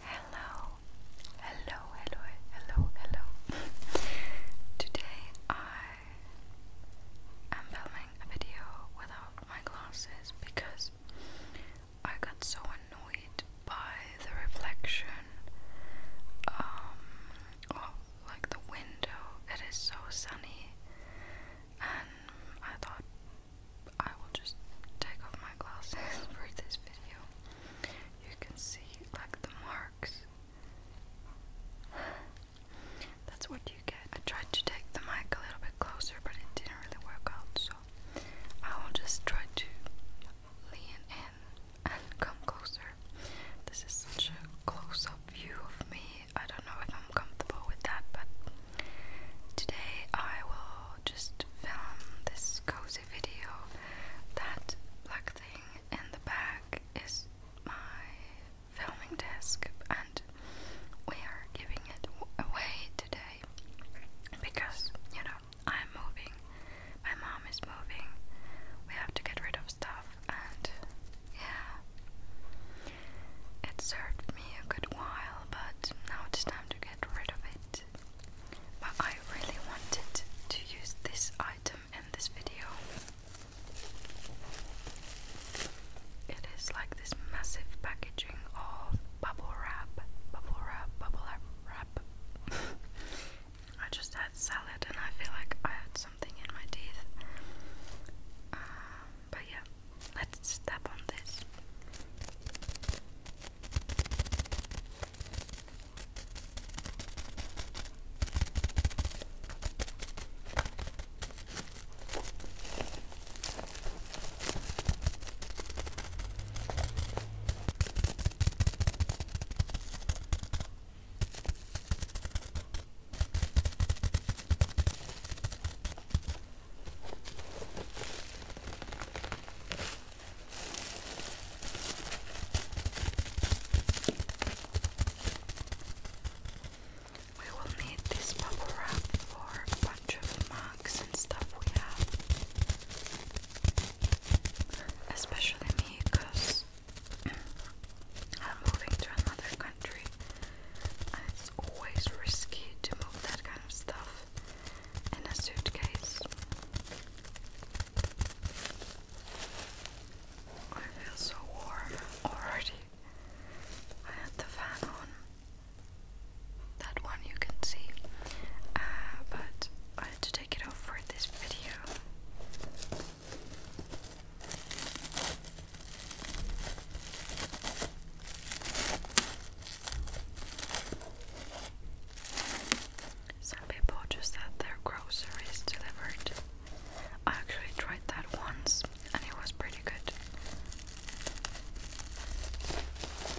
Hello, hello, hello, hello, hello. Today I am filming a video without my glasses because I got so annoyed by the reflection um, of like the window. It is so sunny, and I thought I will just take off my glasses for this video. You can see like the marks. That's what you get. I tried to take the mic a little bit closer, but it didn't really work out, so I will just try to lean in and come closer. This is such a close up view of me I don't know if I'm comfortable with that, but today I will just film this cozy video. That black thing in the back is my filming desk, and we are giving it away today because you know I'm moving, my mom is moving, we have to get rid of stuff, and yeah. It served me a good while, but now it's time to get rid of it. But I really wanted to use this item in this video. It is like this massive packaging of bubble wrap, bubble wrap, bubble wrap, wrap. I just had salad and I feel like I had something in my teeth. Um, but yeah, let's step on this. We will need this bubble wrap for a bunch of mugs and stuff we have, especially me because I'm moving to another country, it's always risky to move that kind of stuff in a suitcase. I feel so warm already. I had the fan on. That one you can see. Uh, but I had to take it off for this video. Some people just had their groceries delivered. I actually tried that once and it was pretty good.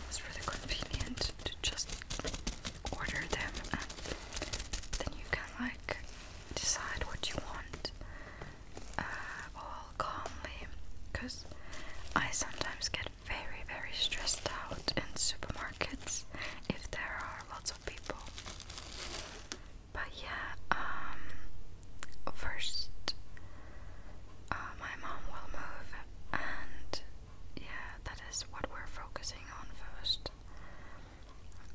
It's really convenient to just order them and then you can like decide what you want all uh, calmly because I sometimes get very, very stressed out in supermarkets if there are lots of people. But yeah, um, first uh, my mom will move, and yeah, that is what we're focusing on first.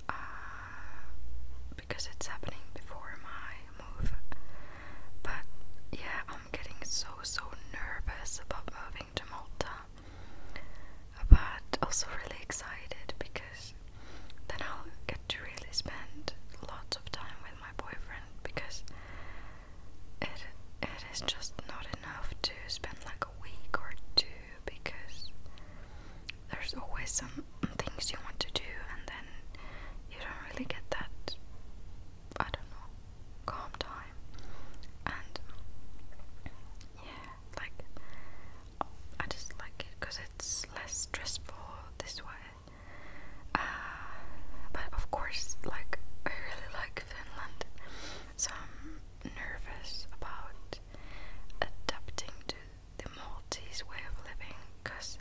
Uh, because it's happening before my move. But yeah, I'm getting so so nervous about moving to Malta, but also really excited because then I'll get to really spend lots of time with my boyfriend because it it is just not enough to spend like a week or two because there's always some things you want to do and then you don't really get that I don't know calm time and yeah like I just like it because it's less stressful this way uh, but of course like I really like Finland so um, nervous about adapting to the Maltese way of living because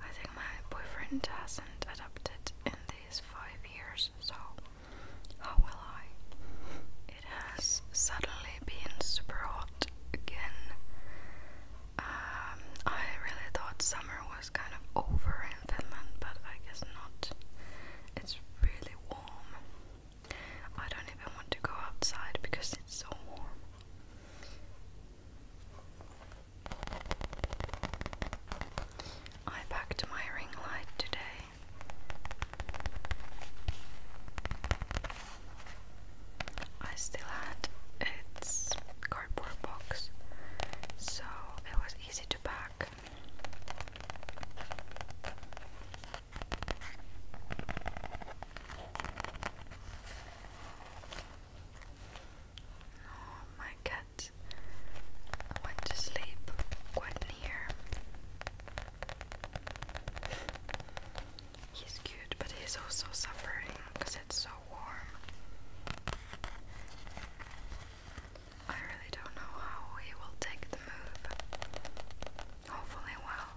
I think my boyfriend hasn't adapted in these five years, so how will I? It has suddenly been super hot again. Um, I really thought summer was kind of over in Finland, but I guess not. It's really warm. I don't even want to go outside because it's so warm. I packed my ring light today. I still had its cardboard box, so it was easy to pack. Oh, my cat went to sleep quite near. He's cute, but he's also suffering because it's so warm. I really don't know how he will take the move hopefully well.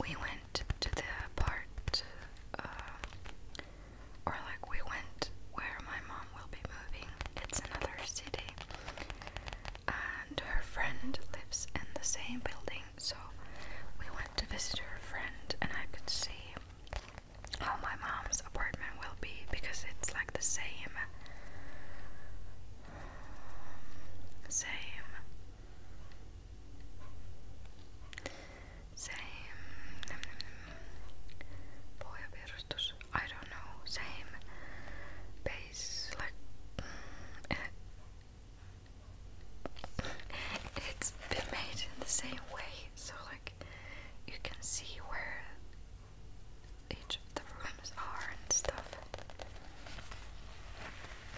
We went to the part, uh, or like we went where my mom will be moving. It's another city, and her friend lives in the same building. So we went to visit her friend, and I could see how my mom's apartment will be because it's like the same same. Same. Pohjavirustus. I don't know. Same. Base. Like. it's been made in the same way, so like you can see where each of the rooms are and stuff.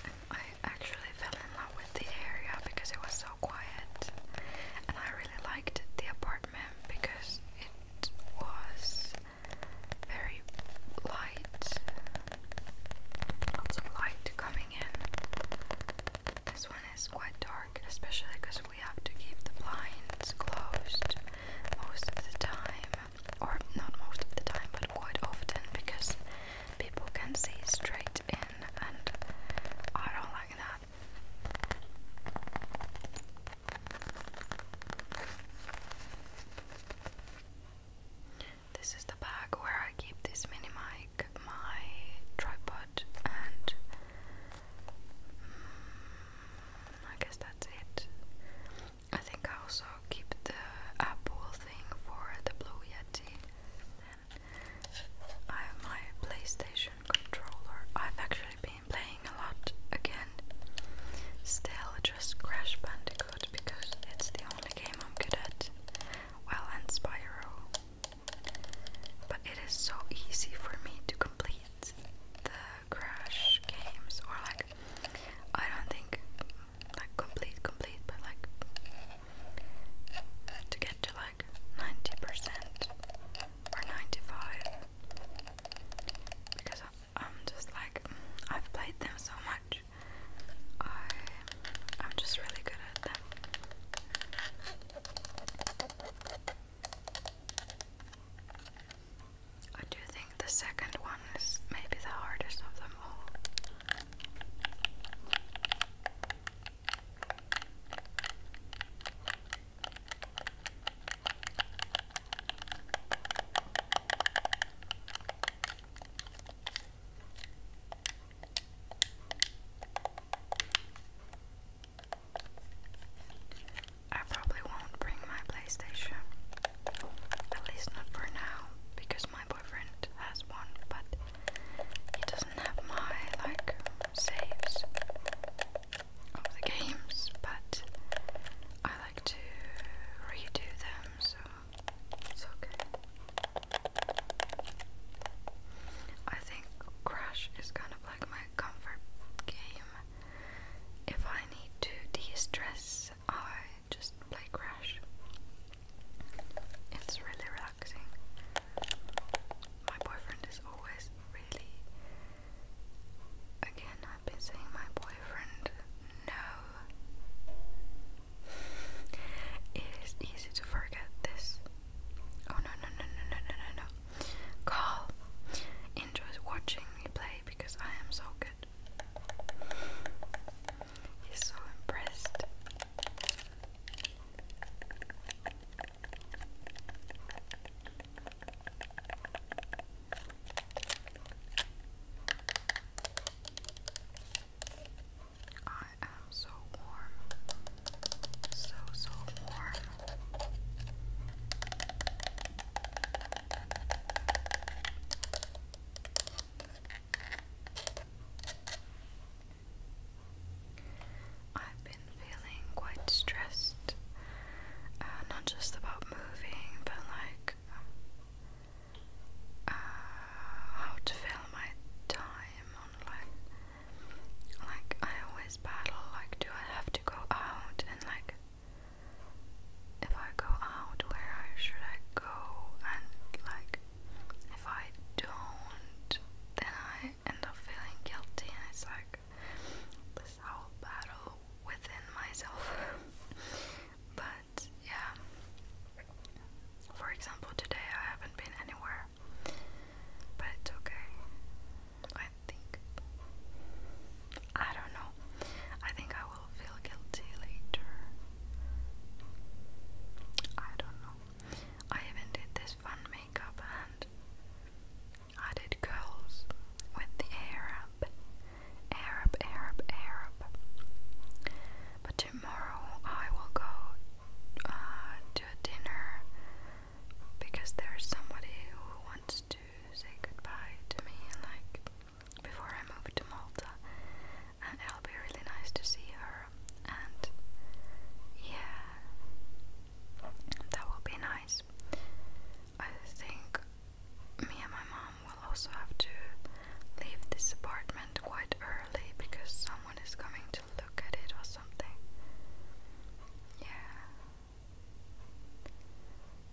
And I actually fell in love with the area because it was so quiet, and I really liked the apartment because it was very light, lots of light coming in. This one is quite dark, especially because we have to keep the blinds closed most of the time, or not most of the time, but quite often because people can see straight in, and I don't like that. This is the bag where I keep this mini mic, my tripod, and mm, I guess that's it. I think I also keep the apple thing for the Blue Yeti. I have my PlayStation controller. I've actually been playing a lot again. Still, just Crash Bandicoot because it's the only game I'm good at. Well, and Spyro. But it is so easy for me to complete the Crash games or like I don't think like complete complete but like to get to like 90% or 95 because I'm just like I've played them so much I I'm just really good at them I do think the second one is maybe the hardest of them all. I probably won't bring my PlayStation. At least not for now, because my boyfriend has one, but he doesn't have my like saves of the games, but I like to redo them, so it's okay. I think Crash is kind of like my comfort game. If I need to de-stress, I just play Crash. It's really relaxing. My boyfriend is always really. Again, I've been saying my boyfriend no. it is easy to forget this. Oh no no no no no no no no. Carl enjoys watching me play because I am so good. He's so impressed. I am so warm. So, so far, I've been feeling quite stressed, uh, not just about moving, but like uh, how to fill my time on like I always battle like do I have to go out and like if I go out where I should I go and like if I don't then I end up feeling guilty and it's like this whole battle within myself but yeah for example today I haven't been anywhere but okay. I think. I don't know. I think I will feel guilty later. I don't know. I even did this fun makeup and I did curls with the Arab. Arab, Arab, Arab. But tomorrow I will go uh, a dinner because there's somebody who wants to say goodbye to me like before I move to Malta and it'll be really nice to see her and yeah that will be nice. I think me and my mom will also have to leave this apartment quite early because someone is coming to look at it or something. Yeah.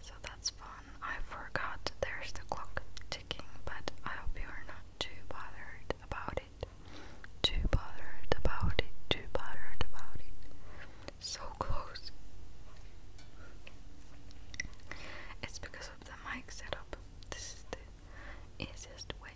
So that's fun. I forgot there's the clock ticking, but I hope you're not too bothered about it. Too bothered about it. Too bothered about it. So close. It's because of the mic setup. This is the easiest way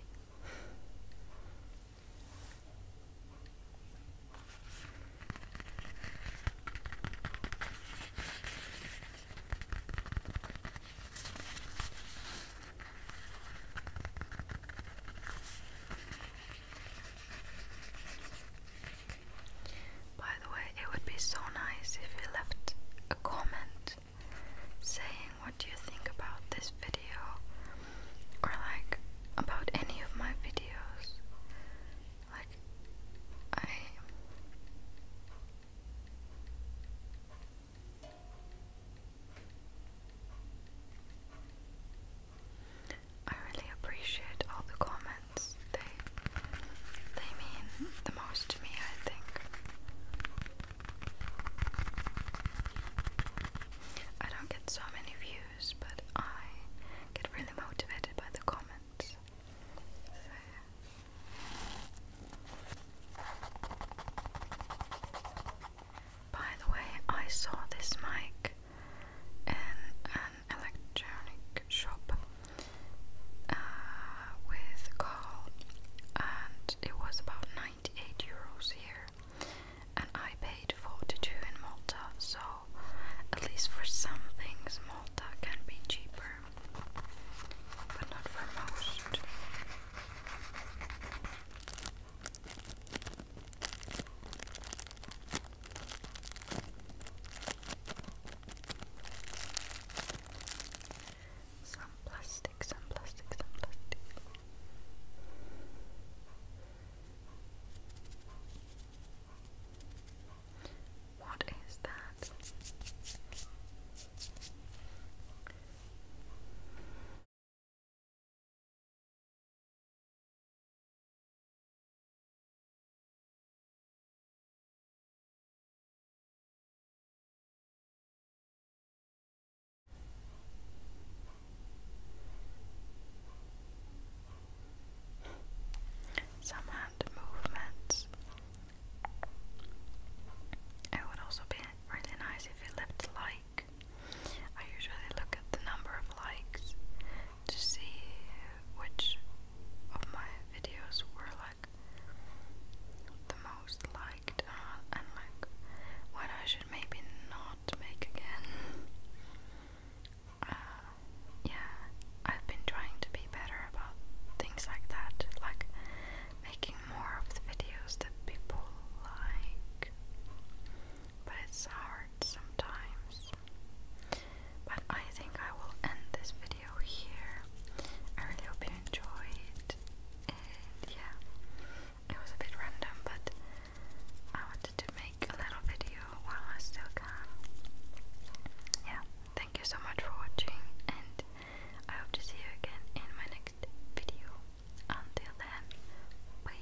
by the way, it would be so nice if you left a comment saying what do you think about this video or like about any of my videos like I I really appreciate all the comments. They they mean the most to me, I think. I don't get so many views, but I get really motivated by the comments. By the way, I saw this mic in an electronic shop uh, with Carl, and it was about 98 euros here, and I paid 42 in Malta, so at least for some things, Malta can be cheaper, but not for most. Some plastic, some plastic, some plastic. What is that? Some hand movements. It would also be really nice if you left a I usually look at the number of likes to see which of my videos were the most liked uh, and like what I should maybe not make again. Uh, yeah, I've been trying to be better about things like that, like making more of the videos that people like. But it's hard sometimes. But I think I will end this video here. I really hope you enjoyed. And yeah, it was a bit random, but I wanted to make a little video while I still can. Yeah, thank you so much for watching, and I hope to see you again in my next video. Until then, bye.